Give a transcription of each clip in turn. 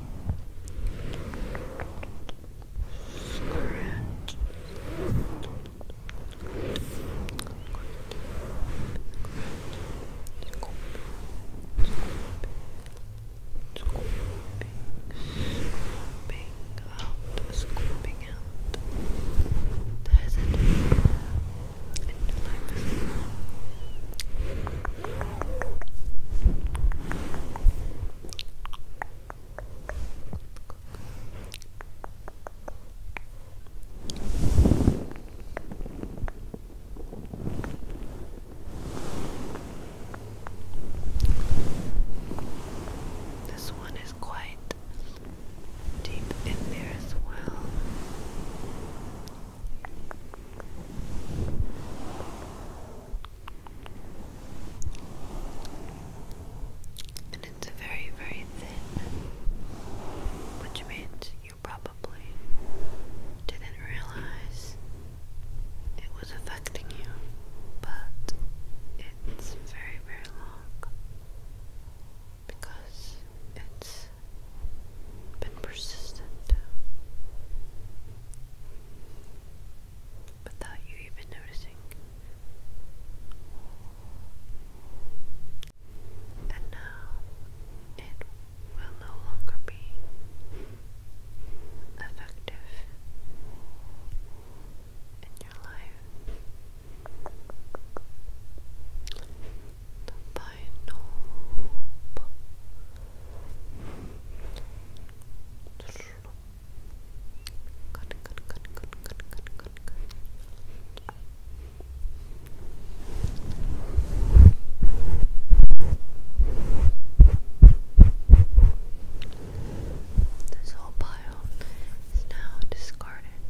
Scratch. Scooping, scooping out, scooping out. There's it. And life is this one is quite deep in there as well it's very, very thin, which means you probably didn't realize it was affecting you, but it's very, very long because it's always been persistent without you even noticing. And now it will no longer be effective in your life. The Good, good, good, good, good, good, good, good. This whole pile is now discarded.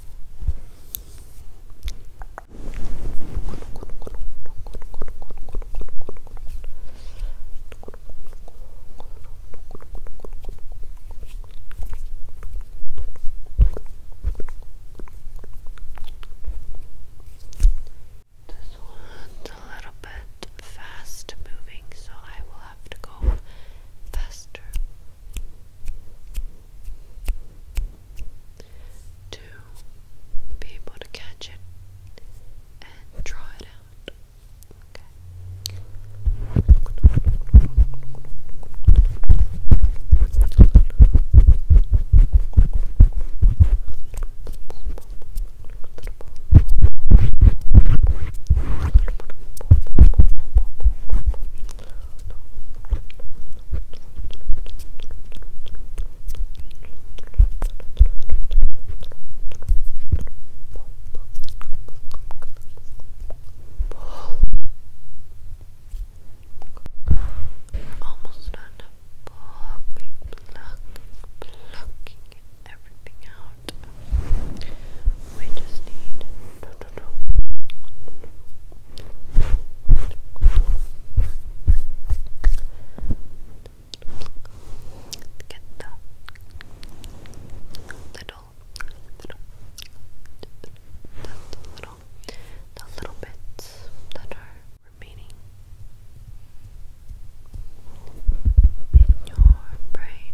This one's a little bit fast moving, so I will have to go faster to be able to catch it and draw it out. Okay. Almost done plucking, plucking, plucking everything out. We just need Get the little, little, little, little bits that are remaining in your brain.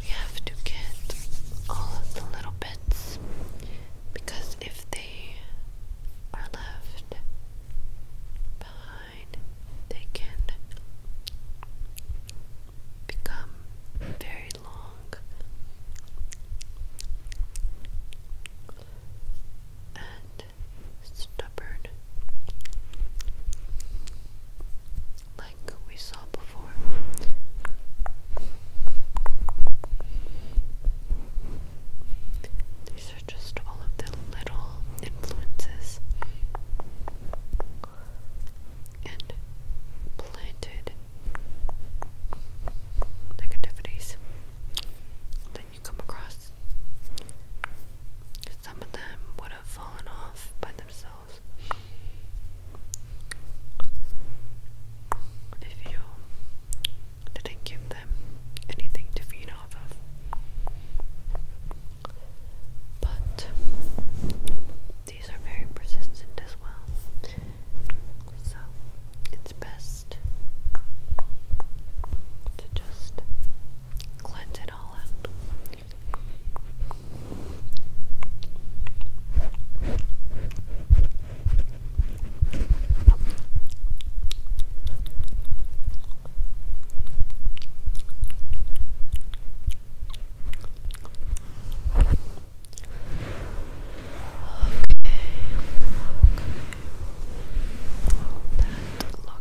We have to get all of the little bits because if they are left behind, they can become very long and stubborn like we saw before. These are just all of the little influences and planted negativities that you come across. Some of them would have fallen off by themselves smells. If you didn't give them anything to feed off of. But these are very persistent as well, so it's best to just cleanse it all out. Okay, okay. That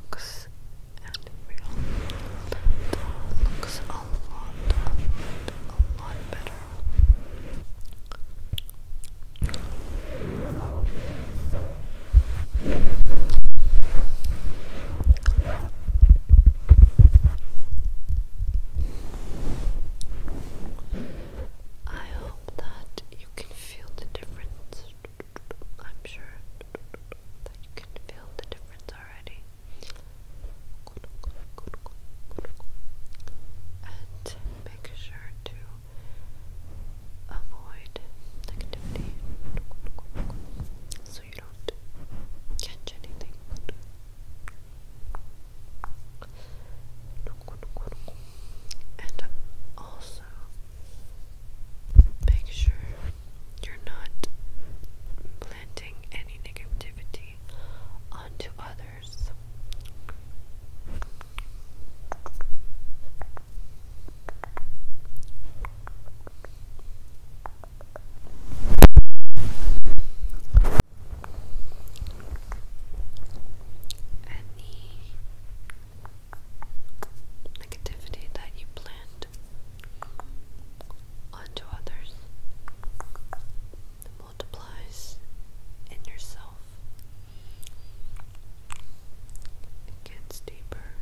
looks and real. looks a lot, a lot better. I hope that you can feel the difference. I'm sure that you can feel the difference already and make sure to avoid negativity so you don't catch anything. And also make sure you're not planting any negativity onto others. Any negativity that you plant out onto others multiplies in yourself. gets deeper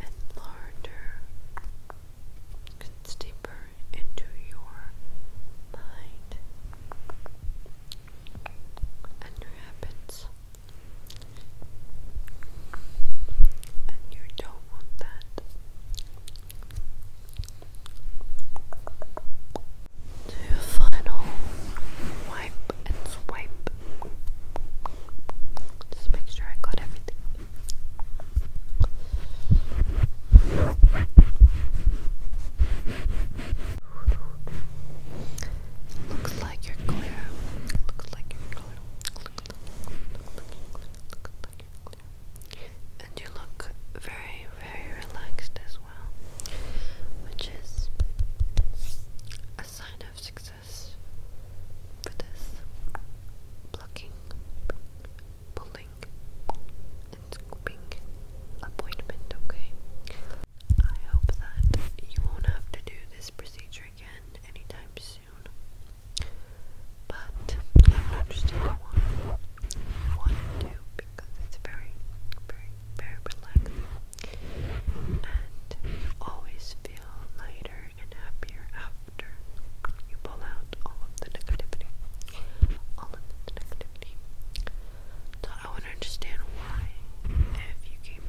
and larger. gets deeper into your mind and your habits. And you don't want that. Do a final wipe and swipe. Just make sure I got everything. Looks like you're clear. Looks like you're clear. And you look very, very relaxed as well, which is a sign of success for this blocking, pulling, and scooping appointment, okay? I hope that you won't have to do this procedure again anytime but I understand why you want to do because it's very, very, very relaxing. And you always feel lighter and happier after you pull out all of the negativity. All of the negativity. So I would understand why if you came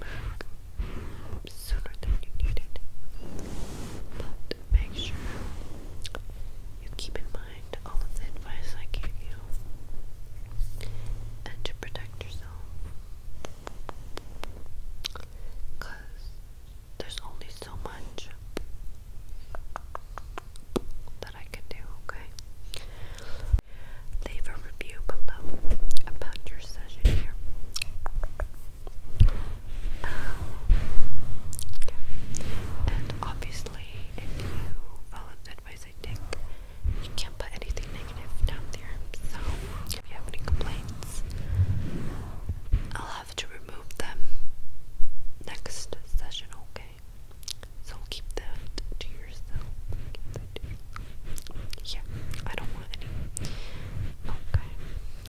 sooner than you needed make sure you keep in mind all of the advice I gave you and to protect yourself because there's only so much that I can do, okay? Leave a review below about your session here. Um, And obviously, if you follow the advice I take, you can't put anything negative down there. So, if you have any complaints, I'll have to remove them next session, okay? So Keep that to yourself. Yeah, I don't want any. Okay.